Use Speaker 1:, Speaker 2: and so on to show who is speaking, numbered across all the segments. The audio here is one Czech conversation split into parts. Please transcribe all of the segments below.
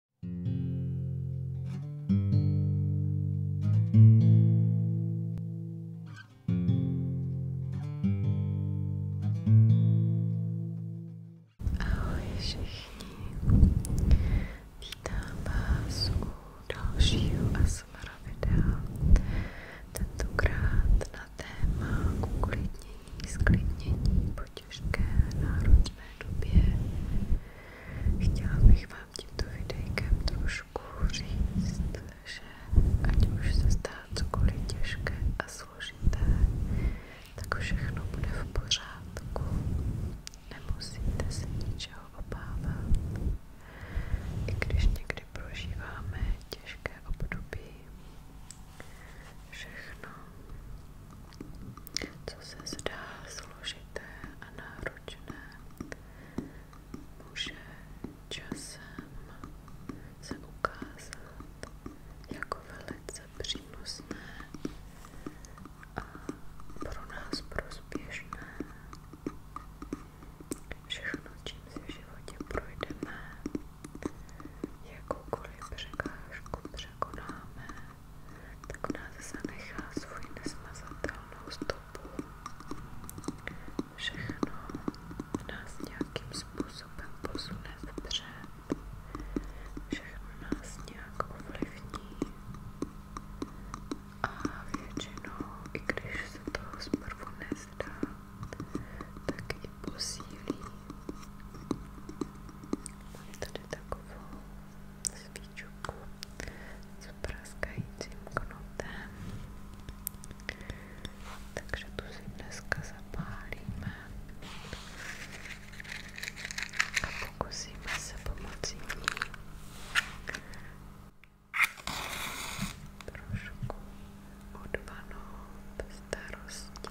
Speaker 1: Ahoj všichni, vítám vás u dalšího ASMR videa, tentokrát na téma uklidnění, sklidnění po těžké, náročné době. Chtěla bych vám tímto videjkem trošku říct, že ať už se stá cokoliv těžké a složité, tak všechno bude v pořádku. Nemusíte se ničeho obávat. I když někdy prožíváme těžké období, všechno co se zdá složité a náročné, může časem se ukázat jako velice přínosné a pro nás prospěšné. Všechno, čím si v životě projdeme, jakoukoliv překážku překonáme, tak ona zase nechá svůj nesmazatelnou stopu. Všechno nás nějakým způsobem posune vpřed, všechno nás nějak ovlivní a většinou, i když se to zprvu nezdá, tak i posílí. Mám tady takovou svíčku s praskajícím knotem. Takže tu si dneska zapálíme a pokusíme se pomocí ní trošku odvanout starosti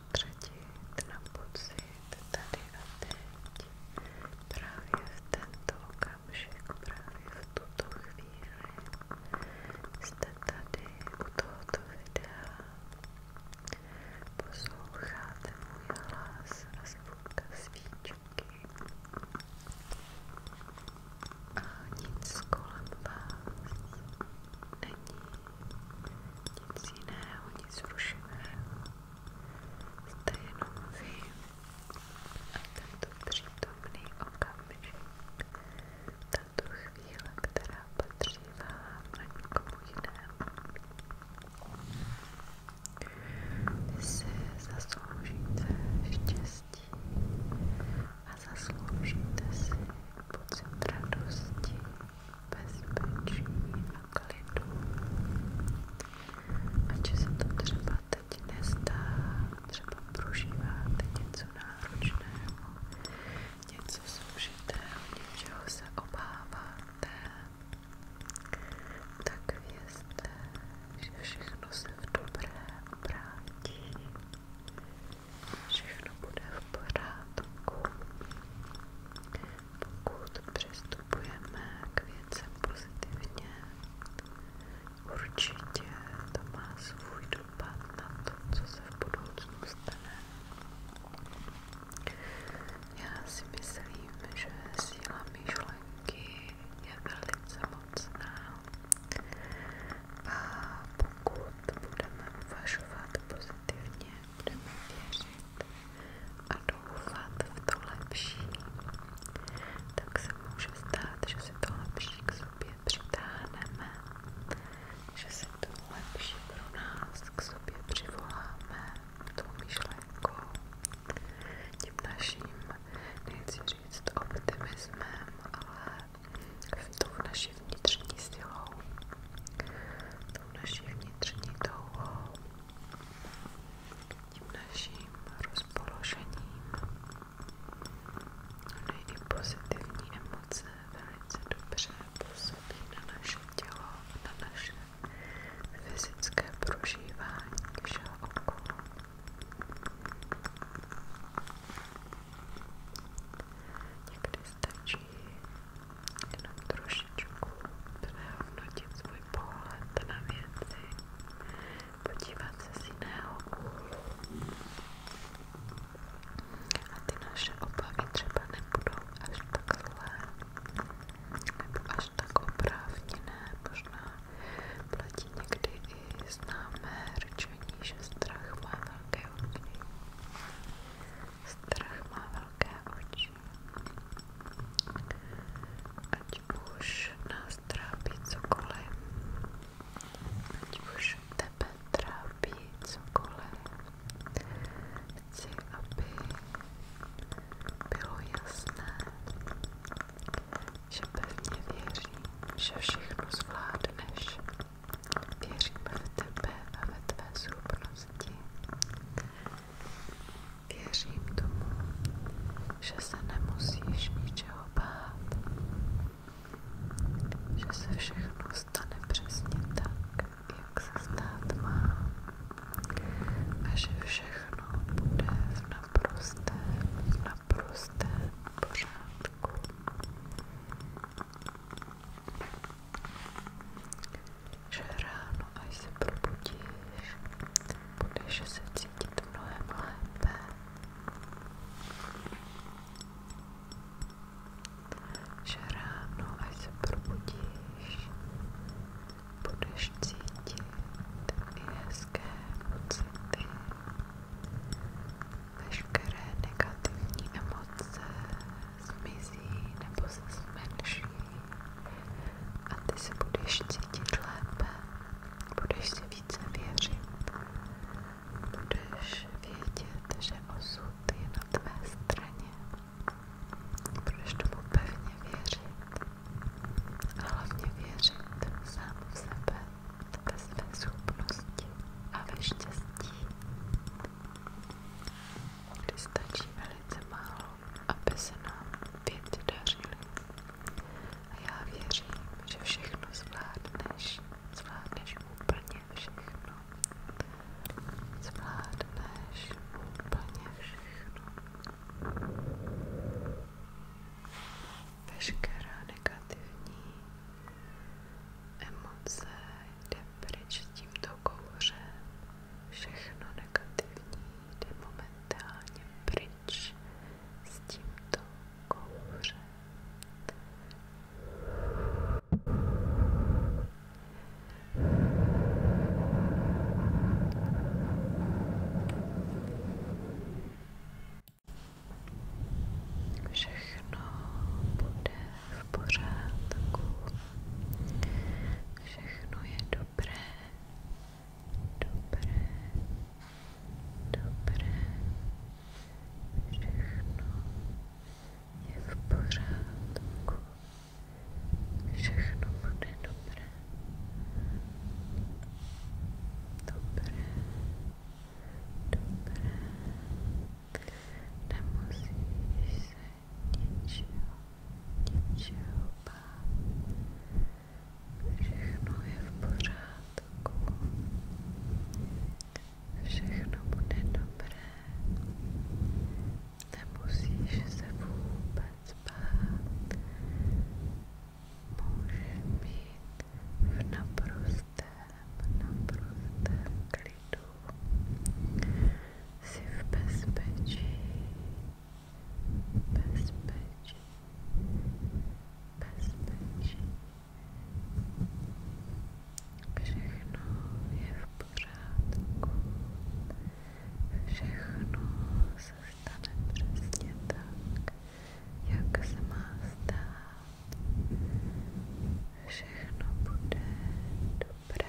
Speaker 1: soustředit na pocit tady a teď. Právě v tento okamžik, právě v tuto chvíli jste tady u tohoto videa. Posloucháte můj hlas a zvuk svíčky. A nic kolem vás není nic jiného, nic rušivého, jste jenom vy a tento přítomný okamžik, tato chvíle, která patří vám na nikomu jinému. Vy si zasloužíte štěstí a zasloužíte si pocit radosti, bezpečí a klidu. Ať se to třeba teď nezdá, třeba prožíváte něco náročného, něco soužitého, něčeho se obáváte, tak vězte, že všechno se v dobré obrátí. Všechno bude v pořádku pokud přistupujeme k věcem pozitivně, určitě to má svůj dopad na to, co se v budoucnu stane. Já si myslím, že síla myšlenky je velice mocná a pokud budeme uvažovat pozitivně, budeme věřit a doufat v to lepší, tak se může stát, že si to lepší k sobě přitáhneme, že si to lepší pro nás k sobě přivoláme tou myšlenkou, tím naším, nechci říct optimismem, ale v tou naší vnitřní silou tou naší vnitřní touhou, tím naším rozpoložením. Ony no, i pozitivní emoce velice dobře působí na naše tělo, na naše fyzické prožívání všeho okolo. Někdy stačí jenom trošičku přehodnotit svůj pohled na věci, podívat se z jiného úhlu. A ty naše obavy třeba nebudou až tak zlé, nebo až tak oprávněné, možná platí někdy i známé řečení, že strach má velké oči. Strach má velké oči. Ať už nás trápí cokoliv, ať už tebe trápí cokoliv, chci, aby bylo jasné, že pevně věřím, že všechno zvládneš. Věřím v tebe a ve tvé schopnosti. Věřím tomu, že se nemusíš ničeho bát, že se všechno stane přesně tak, jak se stát má a že všechno bude v naprostém, v naprostém pořádku že ráno, až se probudíš, budeš se cítit mnohem lépe. Že ráno, až se probudíš, budeš cítit i hezké pocity, veškeré negativní emoce zmizí nebo se zmenší a ty se budeš cítit lépe, budeš si více věřit, budeš vědět, že osud je na tvé straně, budeš tomu pevně věřit a hlavně věřit sebe, ve své a ve štěstí. stačí velice málo aby se nám věci dařily. A já věřím, že všechno zvládneš, zvládneš úplně všechno. Zvládneš úplně všechno. Veškerá negativní emoce jde pryč s tímto kouřem Všechno negativní jde momentálně pryč s tímto kouřem. Všechno bude v pořádku. Všechno je dobré, dobré, dobré. Všechno je v pořádku. Všechno bude dobré. Dobré, dobré. Nemusíš se něčeho, něčeho bát. Všechno je v pořádku. Všechno bude dobré. Nemusíš se vůbec bát. Můžeš být v naprostém, naprostém klidu. Jsi v bezpečí bezpečí, bezpečí. Všechno je v pořádku, všechno se stane přesně tak, jak se má stát. Všechno bude dobré.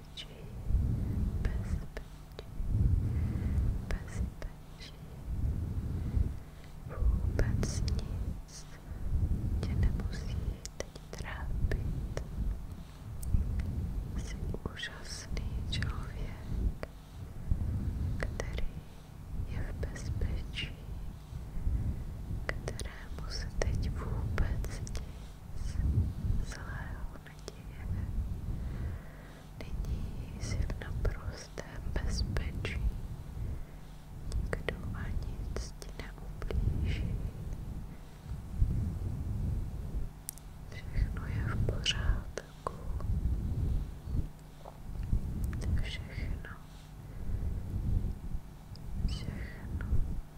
Speaker 1: bezpečí, bezpečí, bezpečí. Vůbec nic tě nemusí teď trápit. Jsi úžasný člověk, který je v bezpečí, kterému se teď vůbec nic zlého naděje. Nyní si v naprostém bezpečí. Nikdo a nic ti neublíží. Všechno je v pořádku. Všechno. Všechno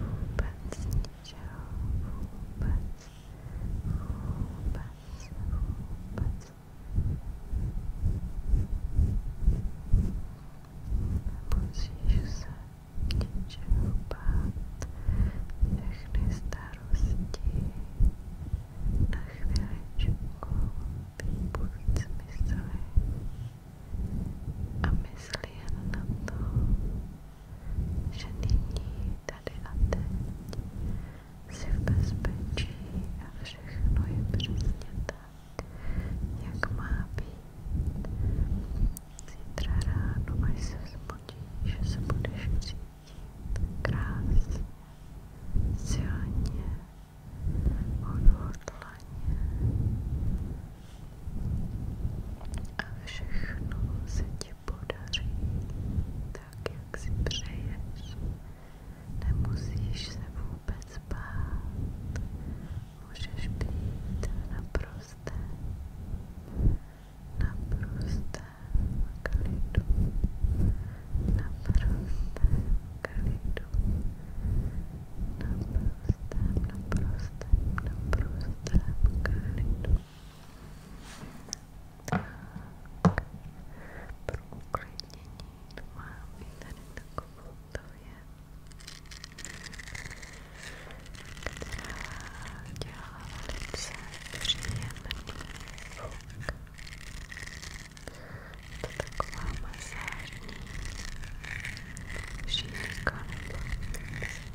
Speaker 1: vůbec ničeho, vůbec, vůbec, vůbec. Musíš se ničeho bát, všechny starosti na chvíličku vypůjď smysly a myslí jen na to, že nyní, tady a teď si v bezpečí a všechno je přesně tak, jak má být. Zítra ráno, až se zbudíš, že se budeš cítit krásně, silně, odhodlaně, a všechno se ti podaří tak, jak si přeješ. Nemusíš se vůbec bát. Můžeš být naprosté, naprosté klidu, naprosté klidu naprostém, naprostém, naprostém klidu. Tak, pro uklidnění tu máme tady takovou to je, která dělá velice příjemný zvuk. To taková masážní šířka nebo jak se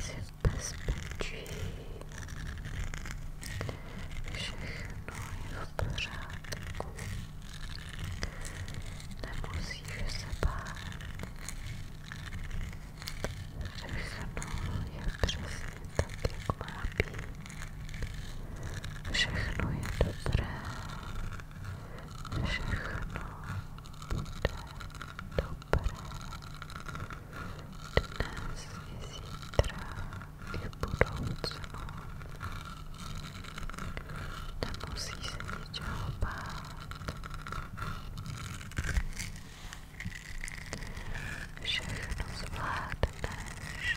Speaker 1: Svět bezpečí, všechno je v pořádku, nemusíš se bát, všechno je přesně tak, jak má být, všechno je dobré. Všechno bude dobré. Dnes i zítra i v budoucnu. Nemusí se ničeho bát. Všechno zvládneš.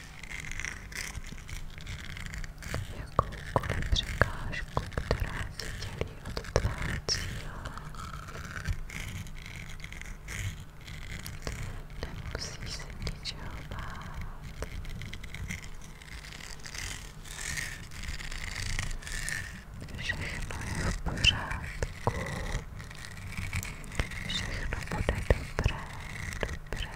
Speaker 1: jakoukoliv překážku, která si dělí od tvého cíle. Nemusíš se ničeho bát. Všechno je v pořádku. Všechno bude dobré, dobré.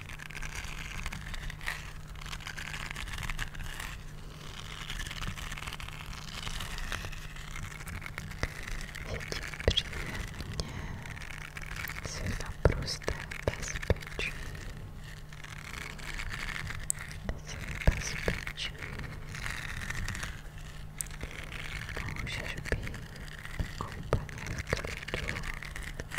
Speaker 1: Cítím příjemně, jsi v naprosté bezpečí. Jsi bezpečí. Můžeš být úplně v klidu.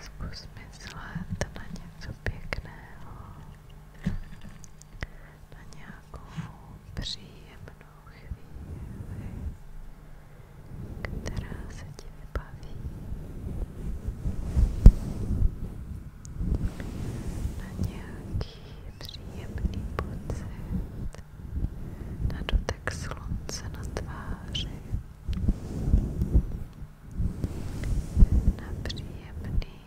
Speaker 1: Zkus myslet na něco pěkného, na nějakou příjemnou chvíli, která se ti vybaví, na nějaký příjemný pocit, na dotek slunce na tváři, na příjemný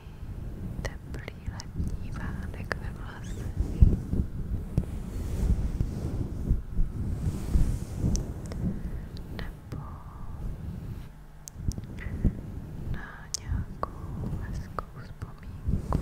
Speaker 1: teplý letní vánek ve vlasech. Nebo na nějakou hezkou vzpomínku.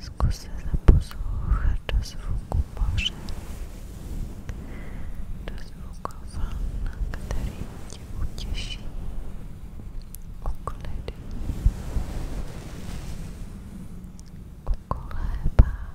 Speaker 1: Zkus se zaposlouchat do zvuku moře, do zvuku vln, který tě utěší, uklidí, ukolébá.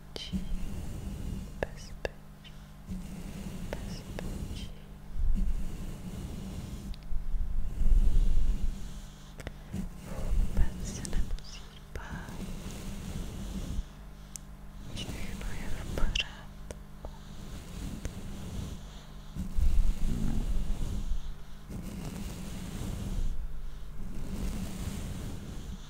Speaker 1: bezpečí, bezpečí, bezpečí. Vůbec se nemusíš bát. Všechno je v pořádku.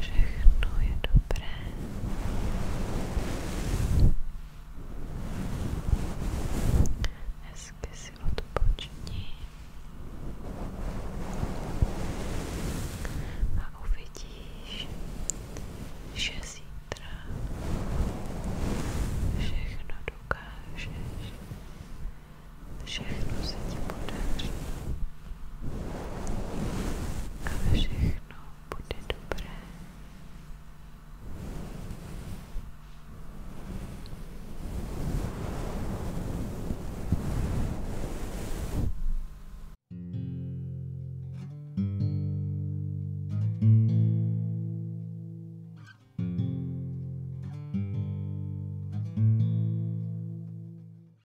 Speaker 1: Všechno je dobré. Hezky si odpoční. A uvidíš, že zítra všechno dokážeš. Všechno se ti podaří a všechno bude dobré.